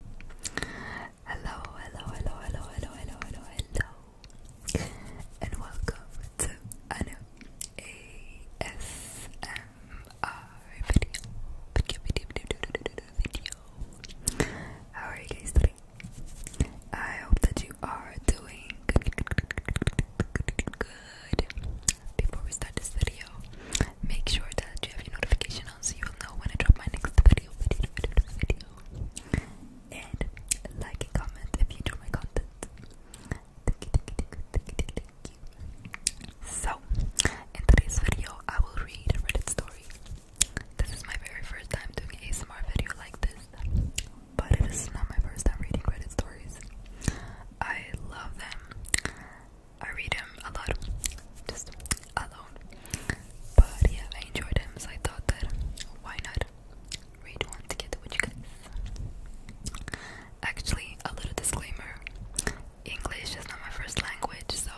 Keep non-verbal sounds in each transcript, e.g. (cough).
Hello, hello, hello, hello, hello, hello, hello, hello, and welcome to a ASMR video. Video, video, video, How are you guys doing? I hope that you are doing good. Before we start this video, Make sure that you have your notification on so you'll know when I drop my next video, video, video, video. And like and comment if you enjoy my content. So, in today's video, I will read a Reddit story. This is my very first time doing an ASMR video like this, but it is not my first time reading Reddit stories. I love them. I read him a lot, just alone. But yeah, I enjoyed him, so I thought that why not read one together with you guys. Actually, a little disclaimer: English is not my first language, so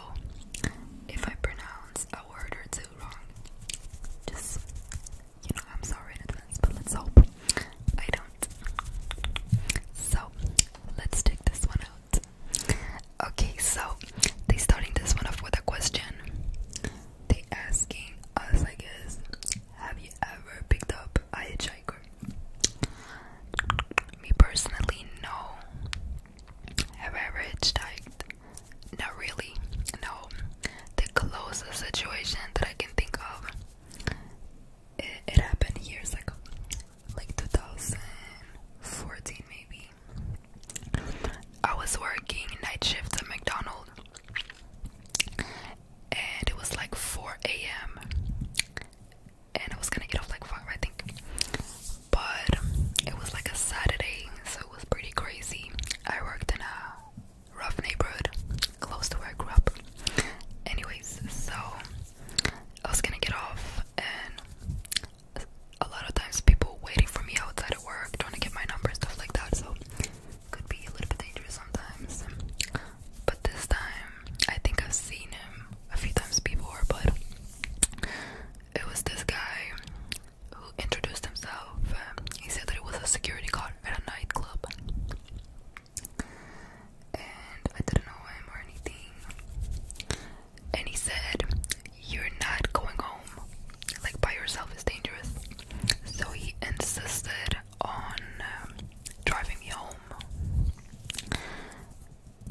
if I pronounce a word or two wrong, just you know, I'm sorry in advance. But let's hope I don't. So let's take this one out. Okay, so they starting this one off with a question. They asking us, I guess, have you ever picked up a hitchhiker? Me personally, no. Have I ever hitchhiked? Not really. No. The closest situation that I can think of, it happened years ago like 2014 maybe. I was working night shift at McDonald's and it was like 4 a.m. and I was gonna get off like 5 I think. But it was like a Saturday, so it was pretty crazy. I worked in a rough neighborhood close to where I grew up. Anyways, so I was gonna get off and a lot of times people waiting for me outside of work, trying to get my number, stuff like that. So could be a little bit dangerous sometimes. But this time, I think I've seen him a few times before, but it was this guy who introduced himself. He said that it was a security guard at a nightclub. And I didn't know him or anything and he said, You're not going home. Like, by yourself is dangerous. So he insisted on um, driving me home.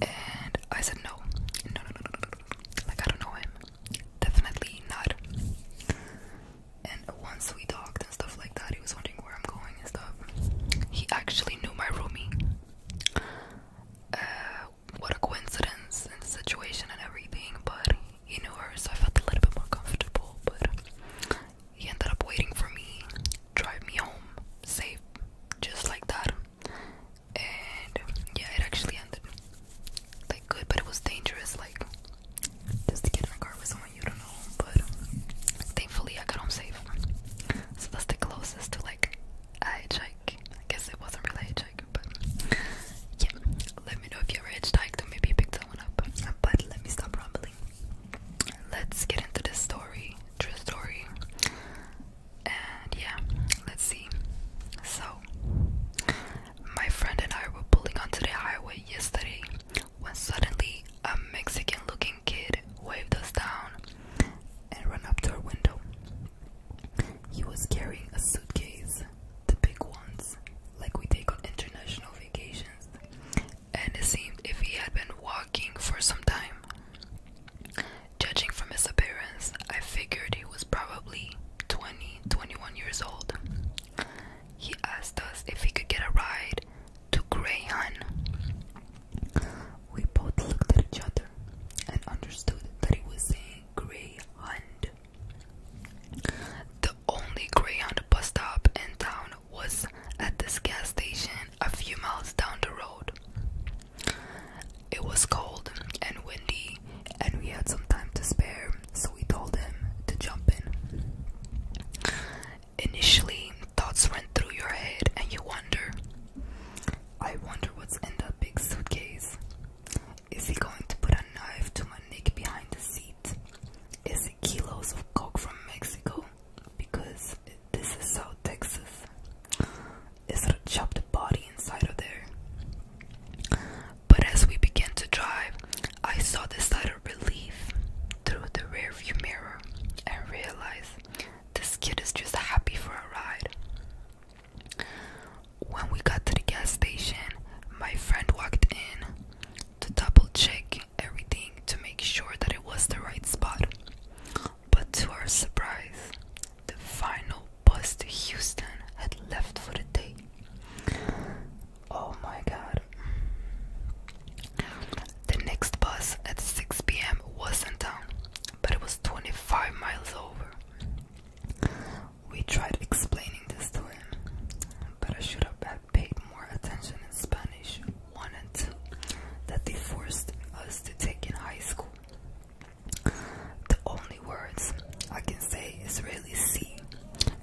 And I said, No, no, no, no, no, no, no. Like, I don't know him. Definitely not. And once we talked and stuff like that, he was wondering where I'm going and stuff. He actually knew my roomie. Uh, what a coincidence and situation and everything, but he knew her, so I felt a little bit more comfortable. But he ended up waiting for me, drive me home safe, just like that. And yeah, it actually ended like good, but it was dangerous. Like just to get in a car with someone you don't know, but thankfully I got home safe. So that's the closest to like a joke. I guess it wasn't really a joke, but yeah. Let me know if you're a hitchhiker, or maybe you picked someone up. But let me stop rambling. Let's get into the story, true story. And yeah, let's see. So, my friend and I were pulling onto the highway yesterday when suddenly a Mexican looking kid waved us down and ran up to our window. He was carrying a suitcase, the big ones, like we take on international vacations, and it seemed if he had been walking for some time. Judging from his appearance, I figured he was probably 20 21 years old. He asked us if he could get a ride to Grayon. We both looked at each other and understood that it was a greyhound. The only greyhound bus stop in town was at this gas station a few miles down the road. It was cold and windy, and we had some time to spare, so we told him to jump in. Initially, thoughts run through your head, and you wonder I wonder what's in that big suitcase. Is he going to put a knife to my neck behind the seat? Is it kilos of coke from Mexico? Because this is South Texas. Is it a chopped body inside of there? But as we began to drive, I saw the sight of relief through the rearview mirror and realized this kid is just happy for a ride. When we got to the gas station, my friend walked in to double check everything to make sure that it was the right spot. But to our surprise, the final bus to Houston had left for the day. Oh my god. The next bus at 6 pm wasn't down, but it was 25 miles over. We tried explaining this to him, but I should have paid more attention in Spanish 1 and 2 that they forced us to take in high school. The only words I can say is really see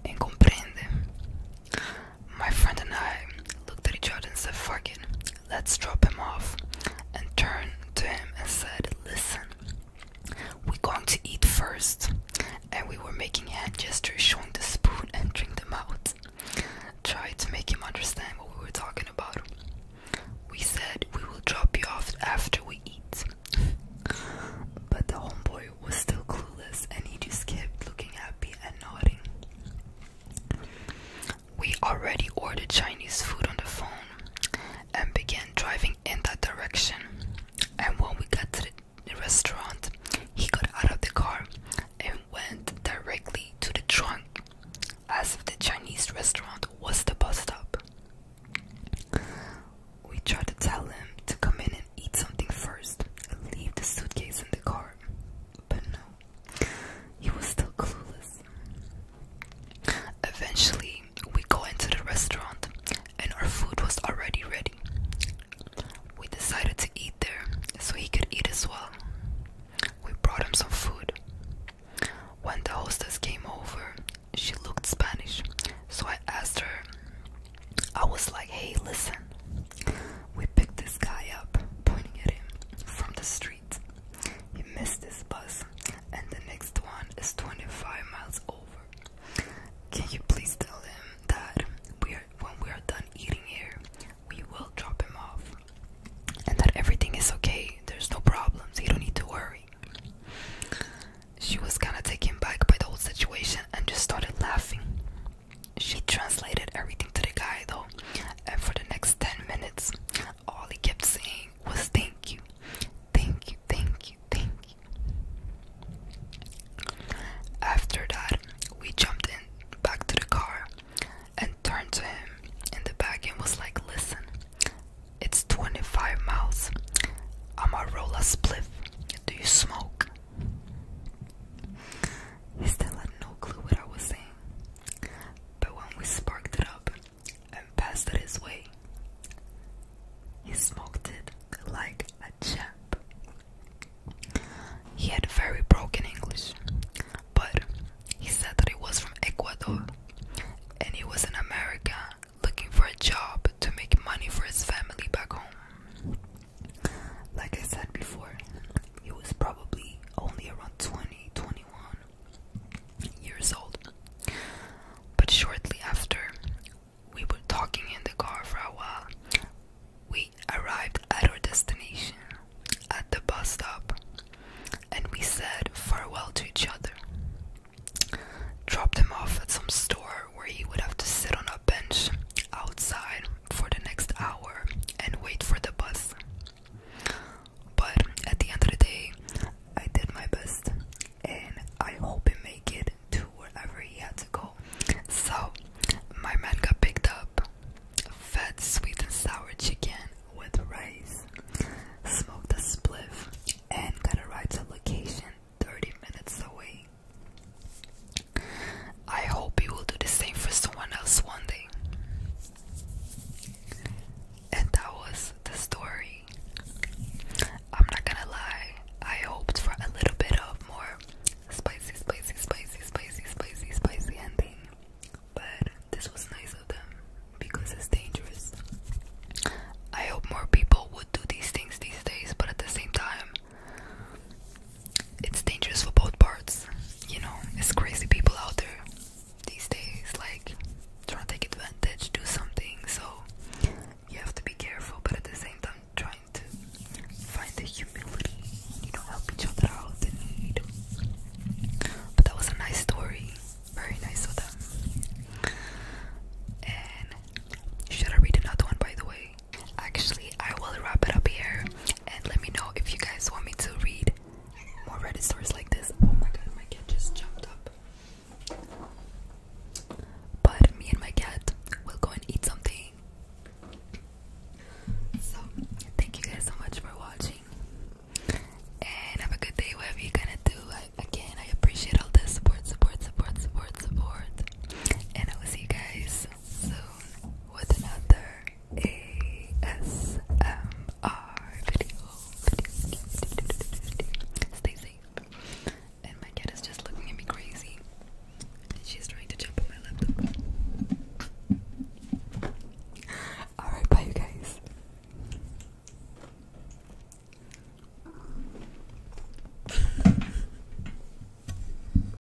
and comprende. My friend and I looked at each other and said, fuck Let's drop him off. And turned to him and said, Listen, we're going to eat first. And we were making hand gestures, showing the spoon, and entering the mouth. Tried to make him understand what we were talking about. We said, We will drop you off after we eat. (laughs) But the homeboy was still clueless and he just kept looking at me and nodding. We already ordered Chinese food on the phone and began driving in that direction. And when we got to the restaurant, he got out of the car and went directly to the trunk as if the Chinese restaurant was the bus stop. We tried to tell him to come in and eat something first and leave the suitcase in the car, but no. He was still clueless. Eventually, we go into the restaurant and our food was already ready. We decided to eat there so he could eat as well. We brought him some food. When the hostess came over, she looked Spanish, so I asked her. I was like, hey, listen, we picked this guy up, pointing at him from the street. He missed this bus, and the next one is 25 miles over. Can you please tell him that we are, when we are done eating here, we will drop him off, and that everything is okay? There's no problems, you don't need to worry. She was kind of taken back by the whole situation and just started laughing. She translated everything to the guy though, and for the next 10 minutes, all he kept saying was thank you, thank you, thank you, thank After that, we jumped in back to the car and turned to him in the back and was like, Listen, it's 25 miles. I'm a roll a spliff. Do you smoke? He still had no clue what I was saying. But when we sparked it up and passed it his way, he smoked it like a champ. He had very broken English, but he said that he was from Ecuador and he was in America looking for a job to make money for his family back home. Like I said before, he was probably only around 20, 21 years old. But shortly after, we were talking in the car for a while. We arrived at our destination at the bus stop and we said farewell to each other. Dropped him off at some store where he would have to sit on a bench outside for the next hour and wait for the bus. But at the end of the day, I did my best and I hope it made it to wherever he had to go. So my man got picked up. Fat sweet and sour chicken with rice. Smoked a spliff and got a ride to a location 30 minutes away. I hope you will do the same for someone else one day. And that was the story. I'm not gonna lie, I hoped for a little bit of more spicy, spicy, spicy, spicy, spicy, spicy ending. But this was nice of them because it's dangerous. I hope more people would do these things these days, but at the same time, it's dangerous for both parts. You know, it's crazy people out there these days, like trying to take advantage, do something. So you have to be careful, but at the same time, trying to find the humility, you know, help each other out in need. But that was a nice story, very nice of them. And should I read another one, by the way? Actually, I will wrap it up here and let me know if you guys want me to read more Reddit stories like this. Oh my god, my cat just jumped up. But me and my cat will go and eat something. So, thank you guys so much for watching. And have a good day, whatever you're gonna do. I, again, I appreciate all the support, support, support, support, support. And I will see you guys soon with another ASMR video. Stay safe. And my cat is just looking at me crazy. She's trying to jump on my laptop. Alright, bye you guys.